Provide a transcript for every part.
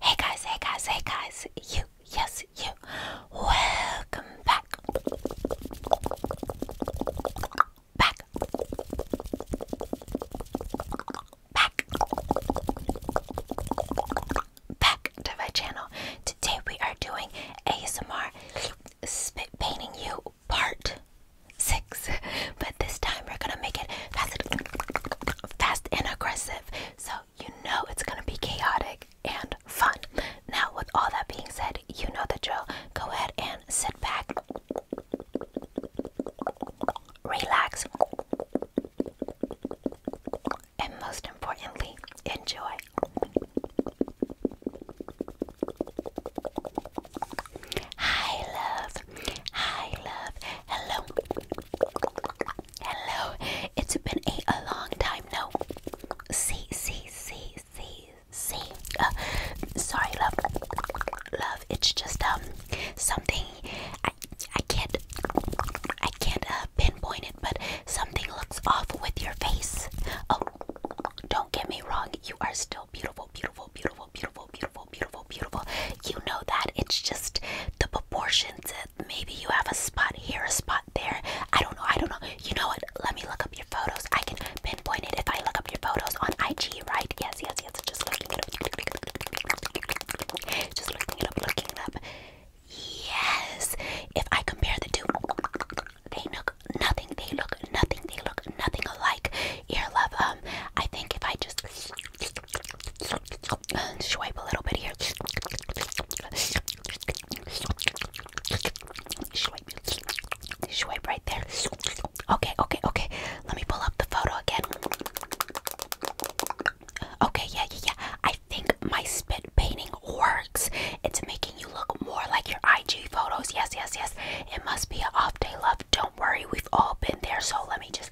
Hey guys, hey guys, hey guys, you, yes, you, welcome back. Back. Back. Back to my channel. Today we are doing ASMR spit painting you part six. But this time we're gonna make it fast, fast and aggressive. So you know it's gonna be chaotic and fun. Now, with all that being said, you know the drill. Go ahead and sit back, relax, and most importantly, enjoy. Hi love. Hi love. Hello. Hello. It's been a, long time now. See, see, see, see, see. Uh, sorry love. Love. It's just um something I I can't I can't uh, pinpoint it, but something looks off with your face. Oh, don't get me wrong. You are still beautiful, beautiful, beautiful, beautiful, beautiful, beautiful, beautiful. You know that it's just the proportions. Maybe you have a spot here, a spot there. I don't know. I don't know. You know what? Let me look up your photos. I can pinpoint it if I look up your photos on IG, right? Yes, yes, yes. Just looking it up. Just looking it up, looking it up. Yes. If I compare the two, they look nothing. They look nothing. They look nothing alike. Your love. Um, I think if I just swipe a little bit here, swipe, swipe right there. Okay, okay, okay. Let me pull up the photo again. Okay, yeah, yeah, yeah. I think my spit painting works. It's making you look more like your IG photos. Yes, yes, yes. It must be an off day, love. Don't worry, we've all been there. So let me just.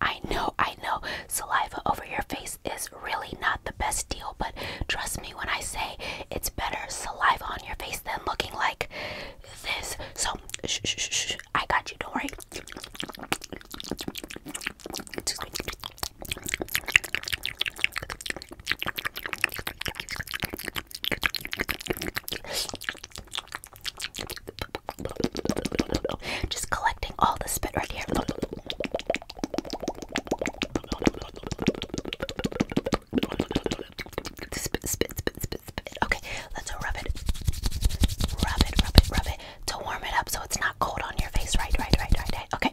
I know, I know. Saliva over your face is really not the best deal, but trust me when I say it's better saliva on your face than looking like this. So, shh, shh, shh, I got you. Don't worry. Just collecting all the spit right here. Spit, spit, spit, spit, spit. Okay, let's rub it. Rub it, rub it, rub it. To warm it up so it's not cold on your face. Right, right, right, right, right. Okay.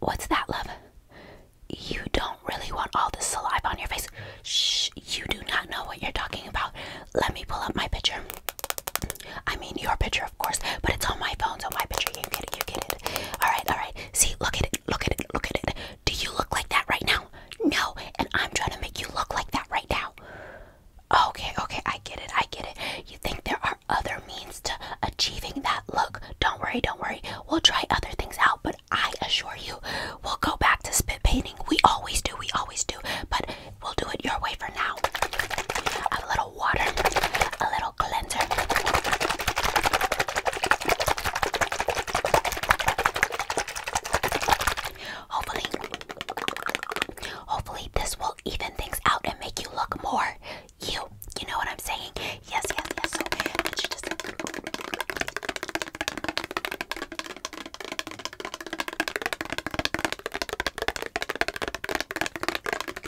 What's that, love? You don't really want all this saliva on your face. Shh, you do not know what you're talking about. Let me pull up my picture. I mean your picture, of course, but it's on my phone, so my picture. You get it. You get it. All right. All right. See, look at it. Look at it. Look at it. Do you look like that right now? No. And I'm trying to make you look like that right now. Okay. Okay. I get it. I get it. You think there are other means to achieving that look? Don't worry. Don't worry. We'll try other things out, but I assure you, we'll go back to spit painting. We always do. We always do. But We'll do it your way for now. A little water, a little cleanser. Hopefully, hopefully this will even things out and make you look more you. You know what I'm saying? Yes, yes, yes.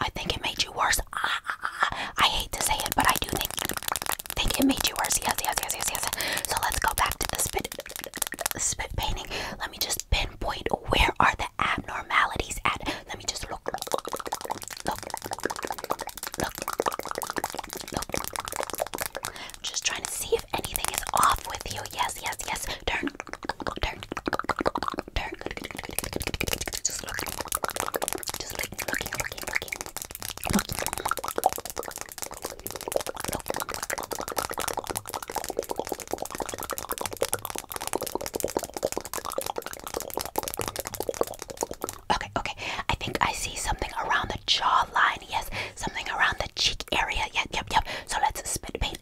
I think it made you worse. I hate to say it, but I do think think it made you worse. Yes, yes, yes, yes, yes. So let's go back to the spit spit painting. Let me just pinpoint where are the abnormalities at. Let me just look, look, look, look, look, look, just trying to see if anything is off with you. Yes, yes, yes. Okay, okay. I think I see something around the jawline. Yes, something around the cheek area. Yep, yep, yep. So let's spit paint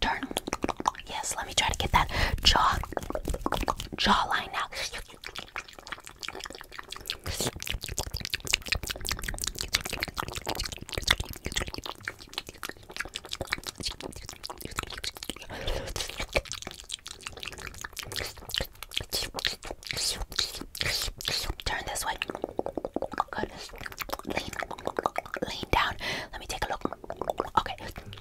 turn. Yes, let me try to get that jaw jawline out. Turn this way. Good. lean down. Let me take a look. Okay.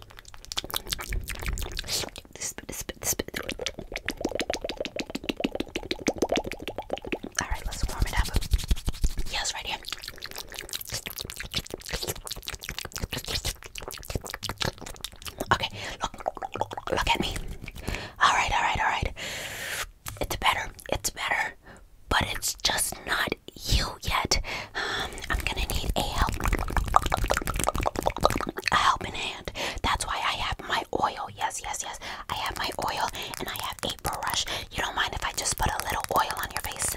All right, let's warm it up. Yes, right here. Okay, look, look at me. All right, all right, all right. It's better. It's better, but it's just not you yet. Um, I'm gonna need a help, a help in hand. That's why I have my oil. Yes, yes, yes. I have my oil and I have a brush. You don't mind if I just put a little oil on your face?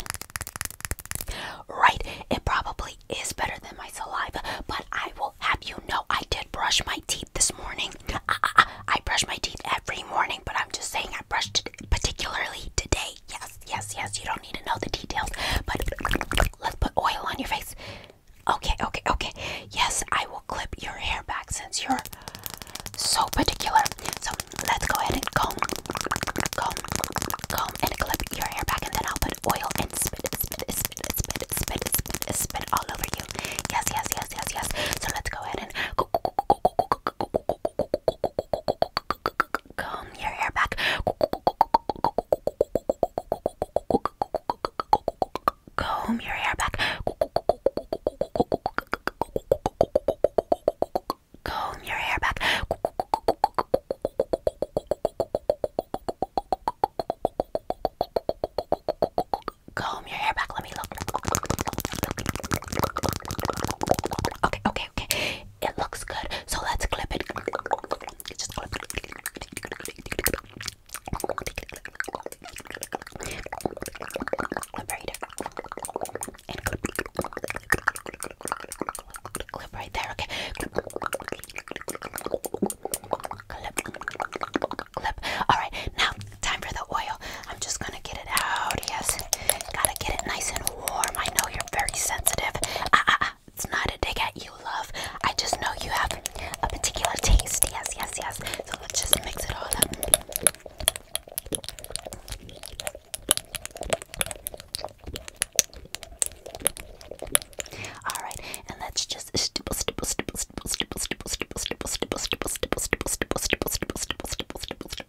Right. It probably is better than my saliva, but I will have you know I did brush my teeth this morning. I brush my teeth every morning, but I'm just saying I brushed it particularly today okay? Yes, yes, yes. You don't need to know the details, but let's put oil on your face. Okay, okay, okay. Yes, I will clip your hair back since you're so particular. So let's go ahead and comb, comb, comb, and clip your hair back, and then I'll put oil and spit, spit, spit, spit, spit, spit, spit all over you. Yes, yes, yes, yes, yes. So let's go ahead and go, go, go, go, go, go, go, go, comb your hair back comb your hair back comb your hair back comb your hair back let me look okay okay okay, okay. It looks good, so let's clip it. Just clip it. Clip right there. And clip. clip right there, okay. Clip. Clip. Clip. Alright, now time for the oil. I'm just gonna get it out. Yes. Gotta get it nice and warm. I know you're very sensitive. Ah, ah, ah. It's not a dig at you, love. I just know you have a particular taste. Yes, yes, yes. So let's just mix it all up. All right, and let's just stipple, stipple, stipple, stipple, stipple, stipple, stipple, stipple, stipple, stipple, stipple, stipple, stipple, stipple, stipple, stipple, stipple, stipple,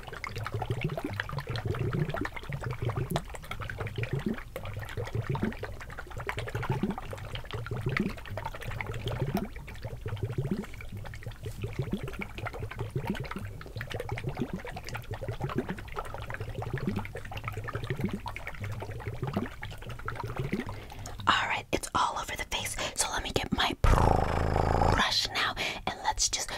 All right, it's all over the face. So let me get my brush now and let's just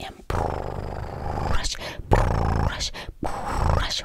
and brush, brush, brush, brush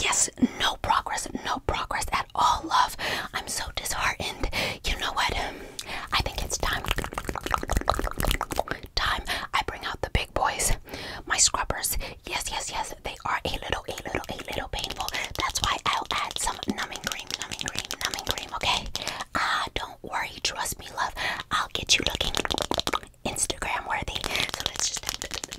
Yes, no progress, no progress at all, love. I'm so disheartened. You know what? Um, I think it's time. Time I bring out the big boys, my scrubbers. Yes, yes, yes. They are a little, a little, a little painful. That's why I'll add some numbing cream, numbing cream, numbing cream. Okay. Ah, don't worry. Trust me, love. I'll get you looking Instagram worthy. So let's just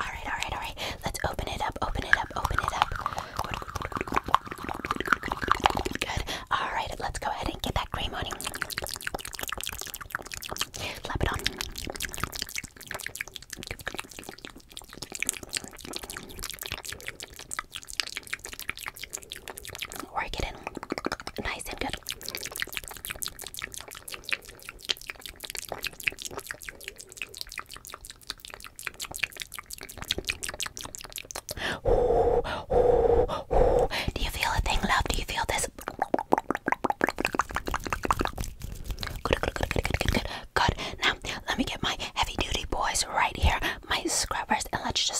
All right, all right, all right. Let's open it up. Open it up. Open it up. Good. All right, let's go ahead and get that cream on you. Slap it on. Work it in nice and good. Do you feel a thing, love? Do you feel this? Good, good, good, good, good, good, good. Now, let me get my heavy duty boys right here, my scrubbers, and let's just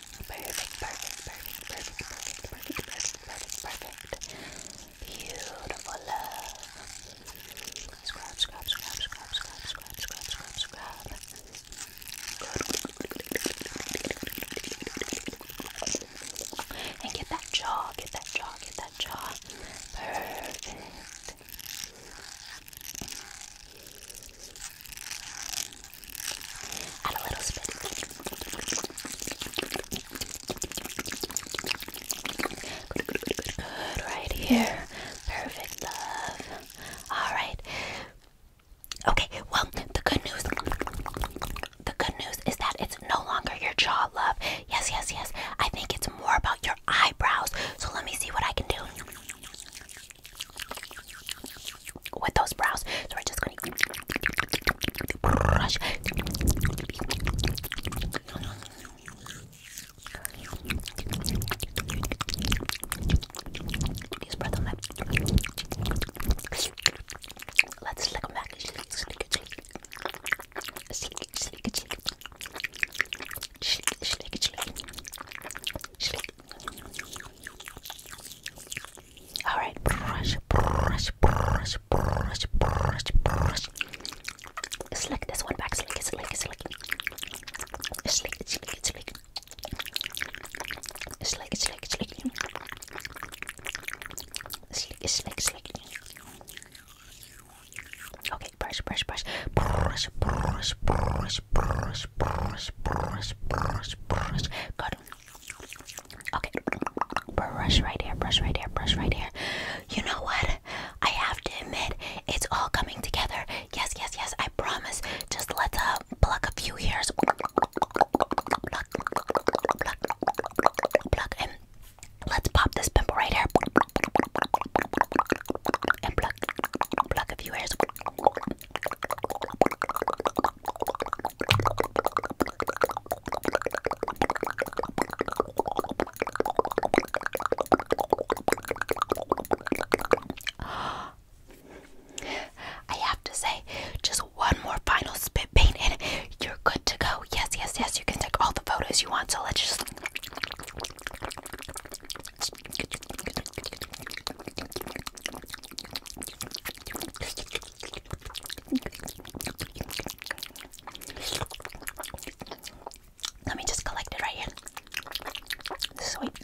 Perfect, perfect, perfect, perfect, perfect, perfect, perfect, perfect, perfect. Beautiful love. Scrub, scrub, scrub, scrub, scrub, scrub, scrub, scrub, scrub. And get that jaw, get that jaw, get that jaw. Perfect. Add a little spit. right here. Perfect, love. All right. Okay, well, the good news. The good news is that it's no longer your jaw, love. Yes, yes, yes. I think it's more about your eyebrows. So let me see what I can do with those brows. So we're just going to brush. Use breath on that. Let's slick them back. Slick, slick, slick. Slick, slick, slick. Slick, slick, slick. Slick, all right, brush, brush, brush, brush, brush, brush. Slick this one back, slick, slick, slick, slick, slick, slick, slick, slick, slick, slick, slick, slick. Okay, brush, brush, brush, brush, brush, brush, brush, brush, brush, brush, brush. Good. Okay. Brush right here, brush right here, brush right here. You know what? I have to admit, it's all coming together. Yes, yes, yes, I promise. Just let's uh, pluck a few hairs. Pluck, pluck, pluck, and let's pop this pimple right here. And pluck, pluck a few hairs. I have to say, just one more final spit paint and you're good to go. Yes, yes, yes, you can take all the photos you want. So let's just let me just collect it right here. Swipe,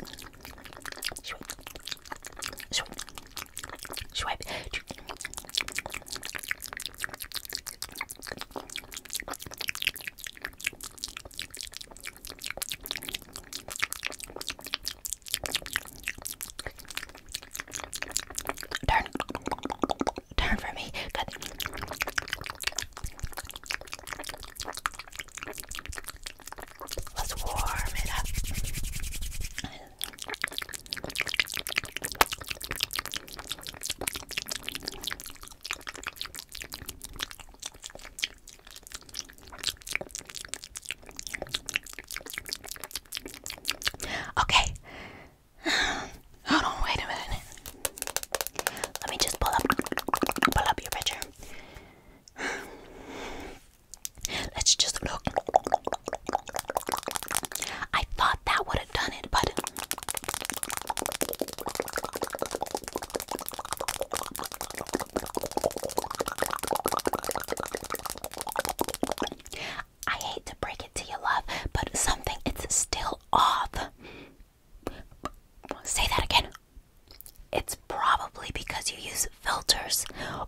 swipe, swipe, swipe. Turn. Turn for me. Let's warm it up. Okay. Hold on, wait a minute. Let me just pull up pull up your picture. Let's just look. I thought that would have done it, but I hate to break it to you, love, but something it's still off. Say that again. It's probably because you use filters.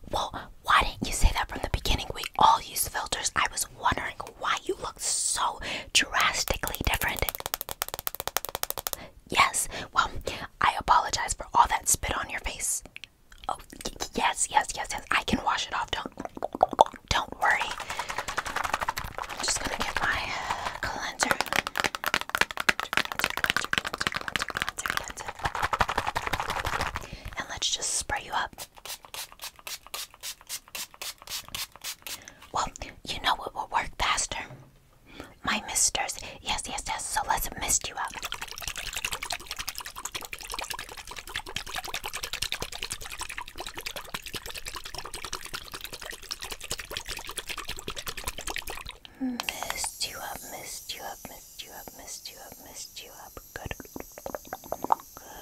Well, why didn't you say that from the beginning? We all use filters. I was wondering why you look so drastically different. Yes. Well, I apologize for all that spit on your face. Oh, yes, yes, yes, yes. I can wash it off. Don't don't worry. I'm just going to get my uh, cleanser. And let's just spray you up. Well, you know what will work faster. My misters. Yes, yes, yes. So let's mist you up. Mist you up, mist you up, mist you up, mist you up, mist you up. Good. Good.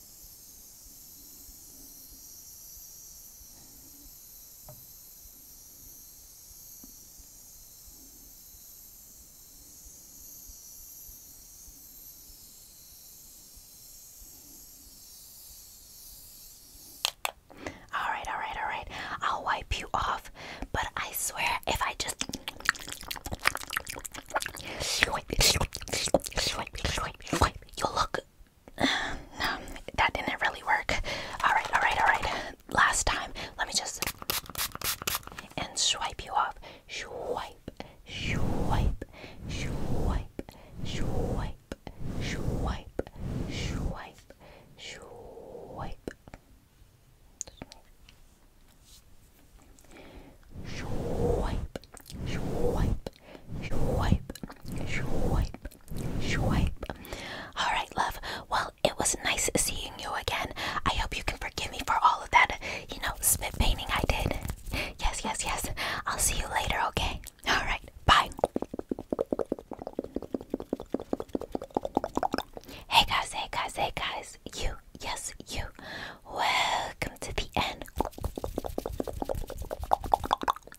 All right, all right, all right. I'll wipe you off, but I swear if I just swipe, swipe, swipe, swipe, wait, you look. No, that didn't really work. Alright, alright, alright. Last time, let me just. And swipe you off. Swipe, swipe, swipe, swipe, swipe, swipe, swipe wipe, wipe, swipe, wipe, swipe, wipe. All right, love. Well, it was nice seeing you again. I hope you can forgive me for all of that, you know, spit painting I did. Yes, yes, yes. I'll see you later, okay? All right, bye. Hey guys, hey guys, hey guys. You yes, you. Welcome to the end.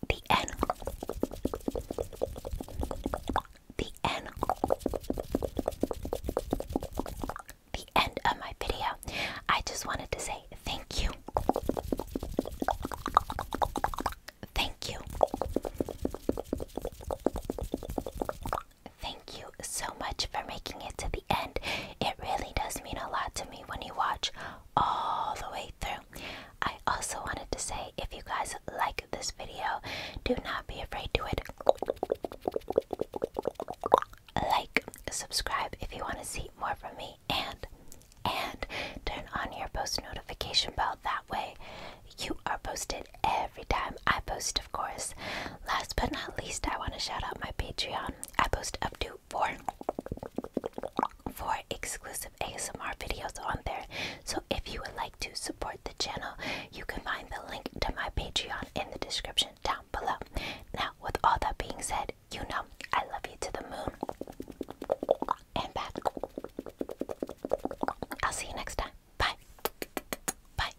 The end. The end. The end of my video. I just wanted to say thank you. Thank you. Thank you so much for making it to the end. It really does mean a lot to me when you watch all the way through. I also wanted to say if you guys like this video, do not be afraid to it. Like, subscribe if you want to see more from me, and and turn on your post notification bell. That way, you are posted every time I post, of course. Last but not least, I want to shout out my Patreon. I post up to four four exclusive ASMR videos on there. So if you would like to support the channel, you can find the link to my Patreon in the description down below. Now, with all that being said, you know I love you to the moon and back. I'll see you next time. Bye. Bye.